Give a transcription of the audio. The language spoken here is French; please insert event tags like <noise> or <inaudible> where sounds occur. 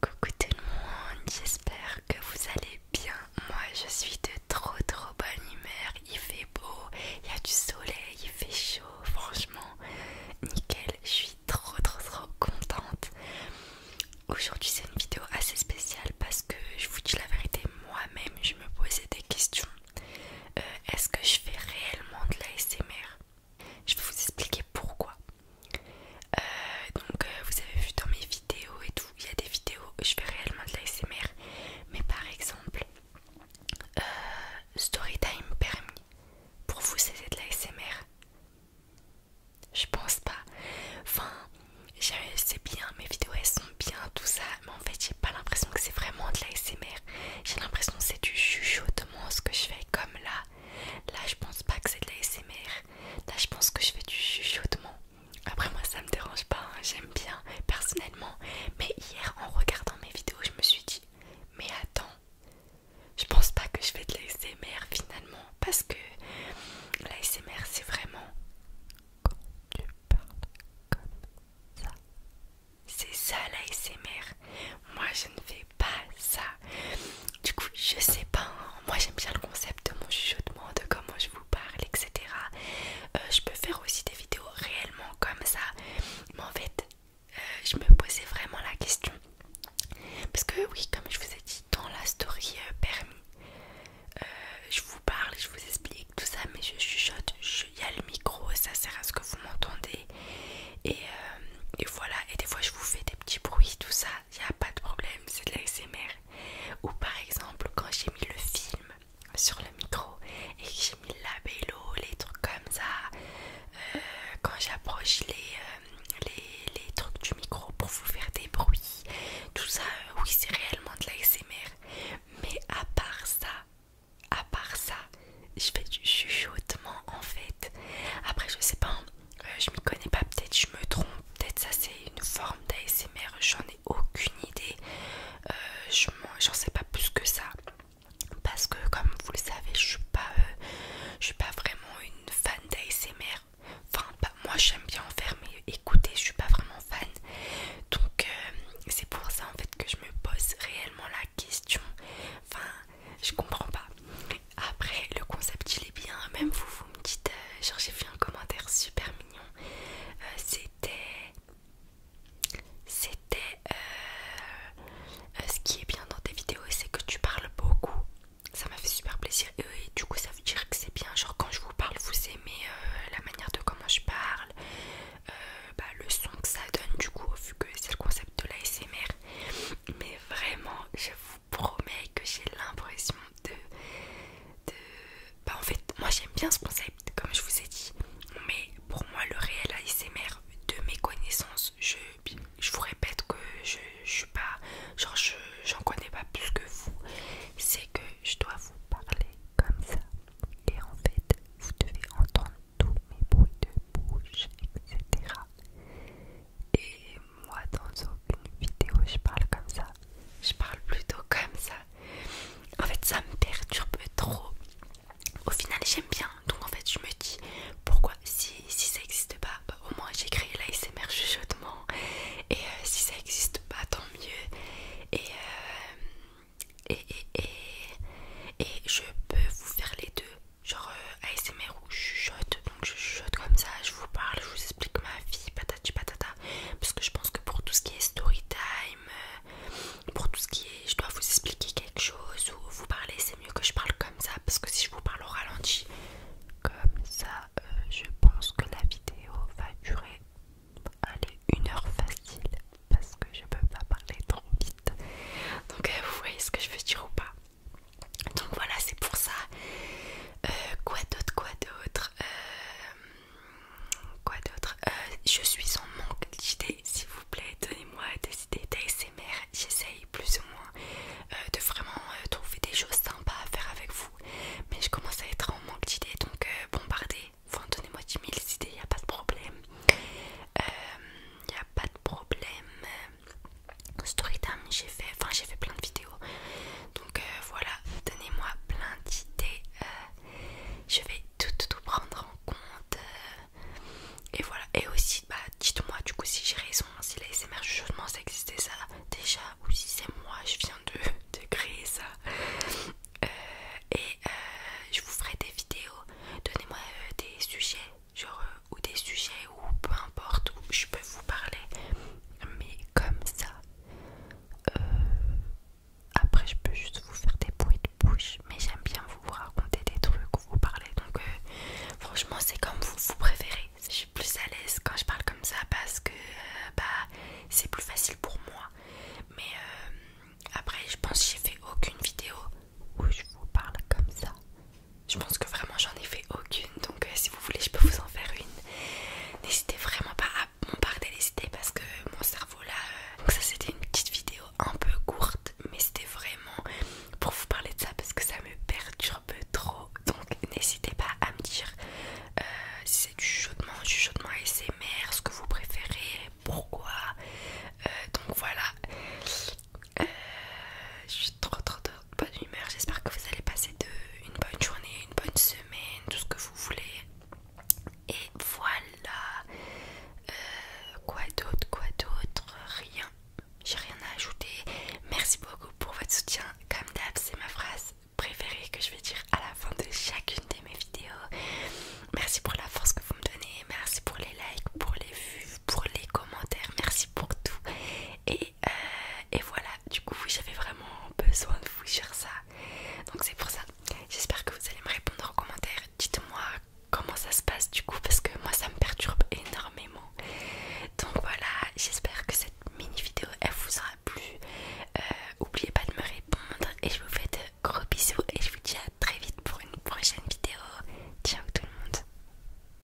Coucou tout le monde, j'espère que vous allez bien. Moi je suis de trop trop bonne humeur, il fait beau, il y a du soleil, il fait chaud, franchement, nickel, je suis trop trop trop contente. Aujourd'hui c'est une vidéo assez spéciale parce que je vous dis la vérité, moi-même je me posais des questions. Euh, est-ce que je fais réellement de l'ASMR je vais vous expliquer pourquoi. Euh, donc euh, vous avez vu dans mes vidéos et tout, il y a des vidéos, je fais réellement de l'ASMR, mais par exemple, euh, Storytime permis, pour vous c'est de l'ASMR Je pense pas. Enfin, c'est bien, mes vidéos elles sont bien, tout ça, mais en fait j'ai pas l'impression que c'est vraiment de l'ASMR. J'ai l'impression que c'est du chuchotement ce que je fais comme là. Là je pense pas que c'est de l'ASMR. Là, je pense que je fais du chuchotement. Après, moi, ça me dérange pas, hein, j'aime bien personnellement. Mais hier, en regardant mes vidéos, je me suis dit, mais attends, je pense pas que je fais de l'ASMR finalement. Parce que l'ASMR, c'est vraiment quand tu parles comme ça. C'est ça l'ASMR. Moi, je ne fais pas ça. Du coup, je sais pas. Hein. Moi, j'aime bien le concept de mon chuchotement, de comment je vous parle, etc. Euh, je peux faire aussi des vidéos réellement comme ça. Mais en fait, euh, je me posais vraiment la question. Parce que oui, comme je vous ai dit dans la story euh, permis, je vous parle, je vous explique tout ça, mais je chuchote, il y a le micro, ça sert à ce que vous m'entendez. et voilà, et des fois je vous fais des petits bruits, tout ça, il a pas de problème, c'est de l'ASMR. Ou par exemple, quand j'ai mis le film sur le micro et que j'ai mis la vélo, les trucs comme ça, euh, quand j'approche euh, les, les, trucs du micro pour vous faire des bruits, tout ça, euh, oui, c'est réellement de l'ASMR. Mais à part ça, à part ça, je fais du chuchotement en fait. Après, je sais pas. Euh, je m'y connais pas, peut-être je me trompe, peut-être ça c'est une forme d'ASMR, j'en ai aucune idée, euh, j'en sais pas plus que ça. Parce que comme vous le savez, je suis pas, euh, suis pas vraiment une fan d'ASMR. Enfin, moi j'aime bien en faire, mais écoutez, je suis pas vraiment fan. Donc c'est pour ça en fait que je me pose réellement la question je comprends pas. Après, le concept il est bien, même vous, vous me dites, euh, genre j'ai fait un commentaire super mignon. Euh, c'était. C'était. Euh, ce qui est bien dans tes vidéos, c'est que tu parles beaucoup. Ça m'a fait super plaisir. Et, du coup, ça veut dire que c'est bien. Genre, quand je vous parle, vous aimez la manière de comment je parle, bah, le son que ça donne, du coup, vu que c'est le concept de la l'ASMR. Mais vraiment, je vous promet promets que j'ai l'impression de, Bah, en fait, moi j'aime bien ce concept, comme je vous ai dit. Mais pour moi, le réel ASMR, de mes connaissances, je, je vous répète que je, suis pas... Genre, j'en connais pas plus que vous. C'est que je dois vous parler comme ça. Et en fait, vous devez entendre tous mes bruits de bouche, etc. Et moi dans aucune vidéo je parle comme ça. Je parle plutôt comme ça. En fait ça me perturbe trop. Au final j'aime bien. Donc en fait je me dis pourquoi si, ça n'existe pas, bah, au moins j'ai créé l'ASMR chuchotement. Et euh, si ça n'existe pas tant mieux. Euh, et, et, et je peux vous faire les deux genre euh, ASMR où je chuchote, donc je chuchote comme ça, je vous parle, je vous explique ma vie, patati patata, parce que je pense que pour tout ce qui est story time, euh, pour tout ce qui est je dois vous expliquer quelque chose ou vous parler, c'est mieux que je parle comme ça, parce que si je vous parle au ralenti, comme ça, euh, je pense que la vidéo va durer, allez, une heure facile, parce que je peux pas parler trop vite, donc vous voyez ce que je veux dire ou pas. Donc voilà, c'est pour ça. Euh, quoi d'autre, quoi d'autre euh, Quoi d'autre euh, Je suis en manque d'idées, s'il vous plaît, donnez-moi des idées d'ASMR. J'essaye plus ou moins de vraiment trouver des choses sympas à faire avec vous. Mais je commence à être en manque d'idées, donc bombardez. Enfin, donnez-moi 10 000 idées, il a pas de problème. Il n'y a pas de problème story j'ai fait enfin j'ai fait plein de vidéos donc euh, voilà donnez moi plein d'idées euh, je vais tout, tout prendre en compte euh, et voilà et aussi bah dites moi du coup si j'ai raison si l'ASMR justement ça existait ça déjà ou si c'est moi je viens de, <laughs> créer ça et je vous ferai des vidéos donnez moi des sujets genre, euh, ou des sujets, ou peu importe, où je peux vous parler, mais comme ça. Euh, après, je peux juste vous faire des bruits de bouche, mais j'aime bien vous raconter des trucs, vous parler. Donc, euh, franchement, c'est comme vous, préférez. Je suis plus à l'aise quand je parle comme ça parce que bah, c'est plus facile pour moi. Mais après, je pense j'ai fait aucune vidéo où je vous parle comme ça. Je pense que vraiment j'en ai fait aucune, donc euh, si vous voulez, je peux vous en faire une. N'hésitez vraiment pas à bombarder les idées parce que mon cerveau là. Euh, donc, ça c'était une petite vidéo un peu courte, mais c'était vraiment pour vous parler de ça parce que ça me perturbe trop. Donc, n'hésitez pas à me dire euh, si c'est du chaudement, du chaudement ASMR, ce que vous préférez, pourquoi. donc voilà, euh, je suis trop trop de bonne humeur. J'espère que vous allez passer une bonne journée, une bonne semaine, tout ce que vous voulez. Et voilà. Euh, quoi d'autre, quoi d'autre Rien. J'ai rien à ajouter. Merci beaucoup pour votre soutien. Comme d'hab, c'est ma phrase préférée que je vais dire à la fin de chacune de mes vidéos. Merci pour la force que vous me donnez. Merci pour les likes, pour les vues, pour les commentaires. Merci pour tout. Euh, et voilà du coup j'avais vraiment besoin de vous dire ça donc c'est pour ça j'espère que vous allez me répondre en commentaire dites moi comment ça se passe du coup parce que moi ça me perturbe énormément donc voilà j'espère que cette mini vidéo elle vous aura plu N'oubliez euh, pas de me répondre et je vous fais de gros bisous et je vous dis à très vite pour une prochaine vidéo ciao tout le monde